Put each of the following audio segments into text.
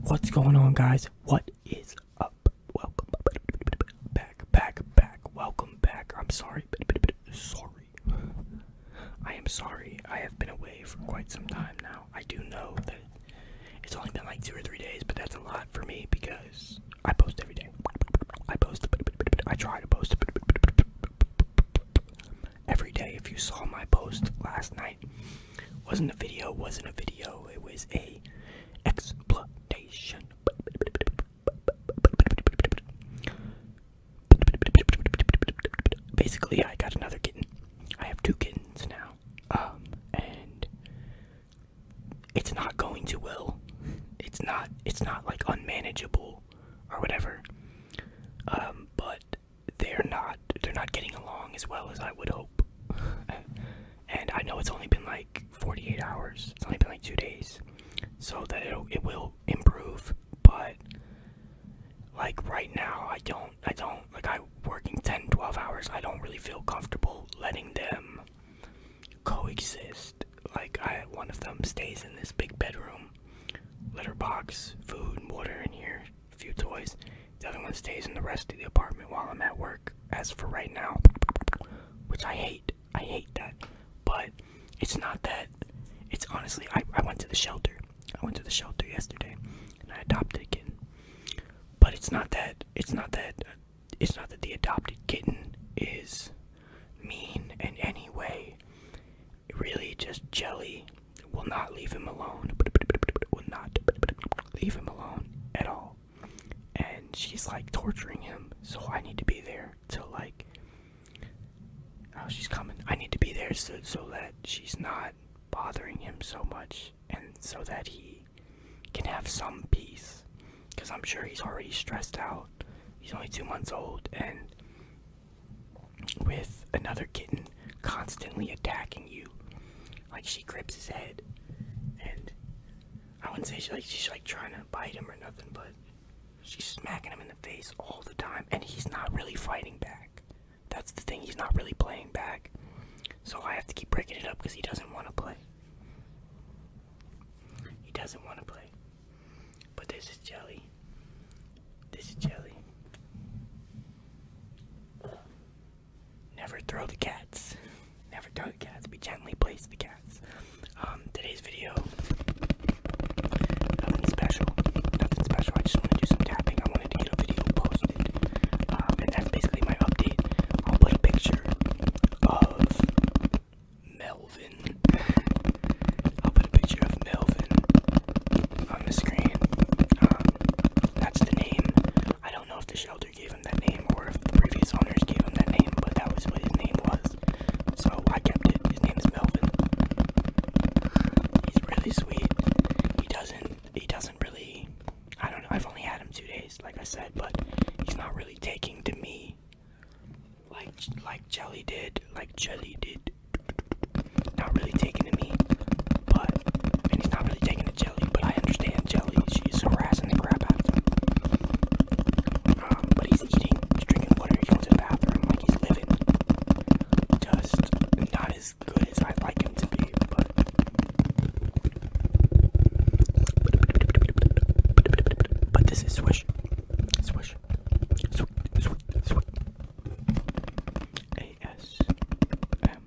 What's going on, guys? What is up? Welcome back, back, back. Welcome back. I'm sorry. Sorry. I am sorry. I have been away for quite some time now. I do know that it's only been like two or three days, but that's a lot for me because I post every day. I post. I try to post every day. If you saw my post last night, wasn't a video, wasn't a video, it was a exploitation. Basically, I got another kitten. I have two kittens now. Um, and it's not going too well. It's not, it's not like unmanageable or whatever. Um, but they're not they're not getting along as well as I would hope. and I know it's only been like 48 hours. It's only been like 2 days. So that it'll, it will improve, but like right now I don't I don't like I working 10 12 hours. I don't really feel comfortable letting them coexist. Like I one of them stays in this big bedroom litter box, food and water in here a few toys. The other one stays in the rest of the apartment while I'm at work. As for right now, which I hate, I hate that. But it's not that. It's honestly, I, I went to the shelter. I went to the shelter yesterday, and I adopted a kitten. But it's not that. It's not that. It's not that the adopted kitten is mean in any way. Really, just jelly will not leave him alone, will not leave him alone at all. And she's like torturing him, so I need to be there to like. Oh, she's coming. I need to be there so, so that she's not bothering him so much and so that he can have some peace. Because I'm sure he's already stressed out. He's only two months old and with another kitten constantly attacking you. Like she grips his head, and I wouldn't say she like she's like trying to bite him or nothing, but she's smacking him in the face all the time, and he's not really fighting back. That's the thing; he's not really playing back. So I have to keep breaking it up because he doesn't want to play. He doesn't want to play. But this is jelly. This is jelly. Never throw the cats. Never throw the cats. We gently place the cats. Um, today's video, nothing special. Nothing special. I just want to do some tapping. I wanted to get a video posted. Um, and that's basically my update. I'll put a picture of Melvin. I'll put a picture of Melvin on the screen. Um, that's the name. I don't know if the shelter gave him that name or if the previous owners gave him that name, but that was what his name was. So I kept it. His name is Melvin. He's really sweet. He doesn't. He doesn't really. I don't know. I've only had him two days, like I said, but he's not really taking to me like like Jelly did. Like Jelly did not really taking to me, but and he's not really taking to Jelly, but I understand Jelly. She's harassing the crap out of him. Um, but he's eating, he's drinking water, he's going to the bathroom, like he's living. Just not as good as I'd like him to be, but. this is Swish. Swish. Swish. Swish. Swish. A S M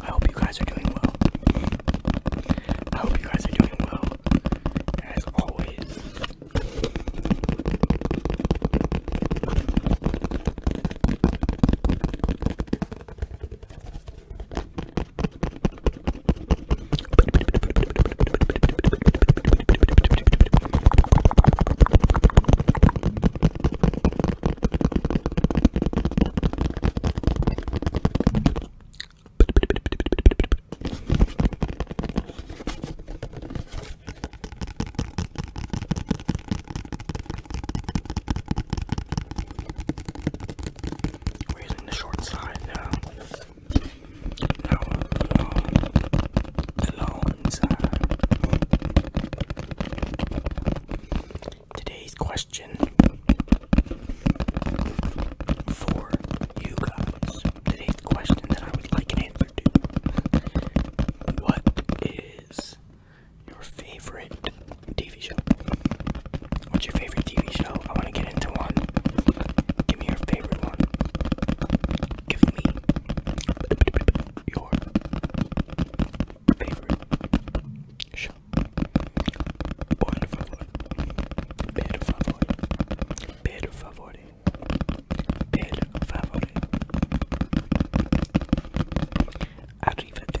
I hope you guys are doing well. I hope you guys are doing well. As always. We're using the short side now. Today's question for you guys. Today's question that I would like an answer to. What is your favorite TV show? What's your favorite TV show? I want to get into one. Give me your favorite one. Give me your favorite show. Por favor. Per favor. Per favor. Per favor. Arrivederci.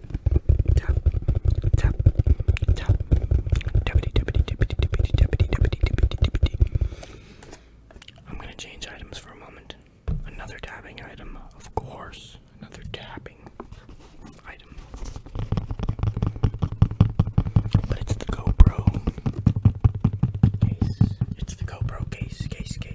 tap, tap, tap, deputy, deputy, deputy, deputy, deputy, deputy, deputy, deputy. I'm gonna change items for a moment. Another tapping item, of course. Another tapping item. But it's the GoPro case. It's the GoPro case, case, case.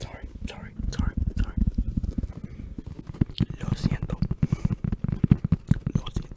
Sorry, sorry, sorry, sorry. Lo siento. Lo siento.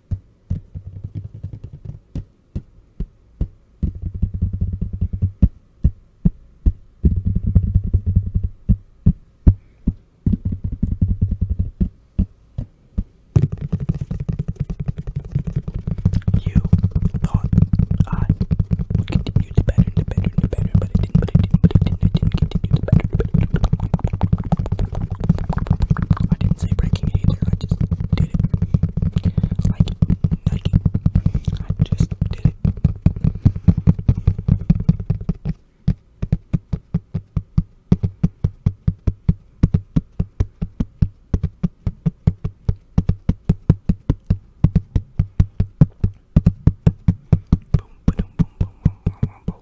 You thought I would continue to better, to better, to better, but I didn't, but I didn't, but I didn't, I didn't continue to better, to better, to better. I didn't say breaking it either, I just did it. Like Nike. I just did it. Boom, boom, boom, boom, boom, boom, boom, boom.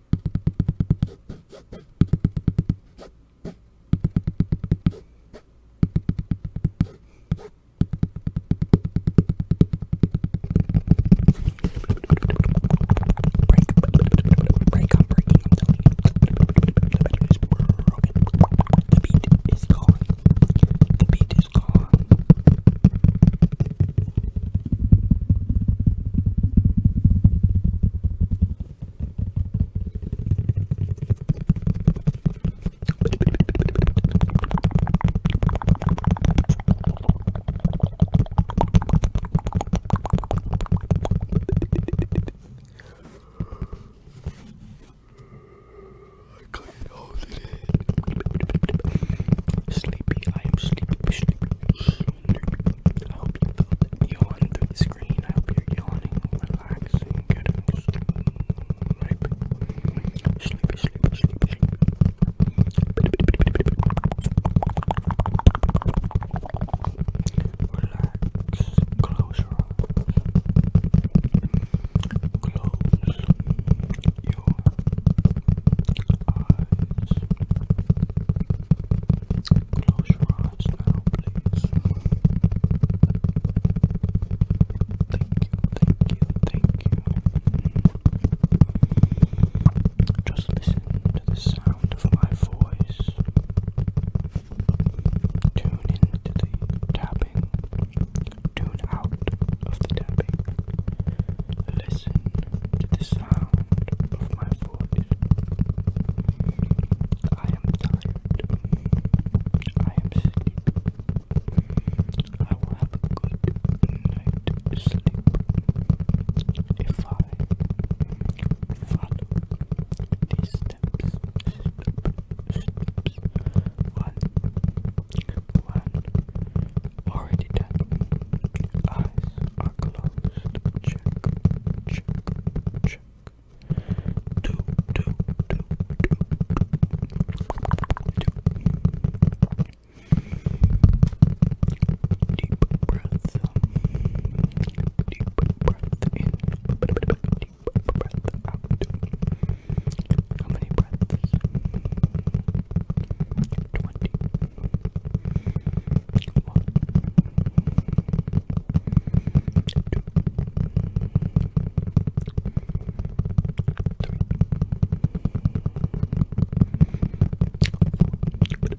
break, I'm breaking, I'm telling you. The beat is gone. The beat is gone. I couldn't hold it in. Sleepy, I am sleepy, sleepy. I hope you felt that yawn through the screen. I hope you're yawning, relaxing, getting sleepy. Sleepy, sleepy, sleepy, sleepy. Relax. Close your eyes. Close Close your eyes now, please. Thank you, thank you, thank you. Just listen to the sound of my voice. Tune into the tapping. Tune out of the tapping. Listen to the sound of my foot. I am tired. I am sleepy. I will have a good night sleep if I follow these Steps, steps. One, one already done. Eyes are closed. Check, check, check. Two, two, Deep breath. Deep breath in. Deep breath out. How many breaths? twenty one two three five Six, seven,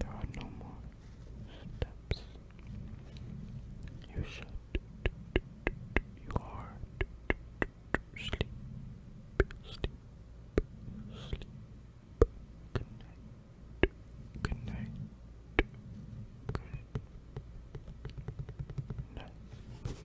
There are no more steps. You should. You are. Sleep. Sleep. Sleep. Good night. Good night. Good night.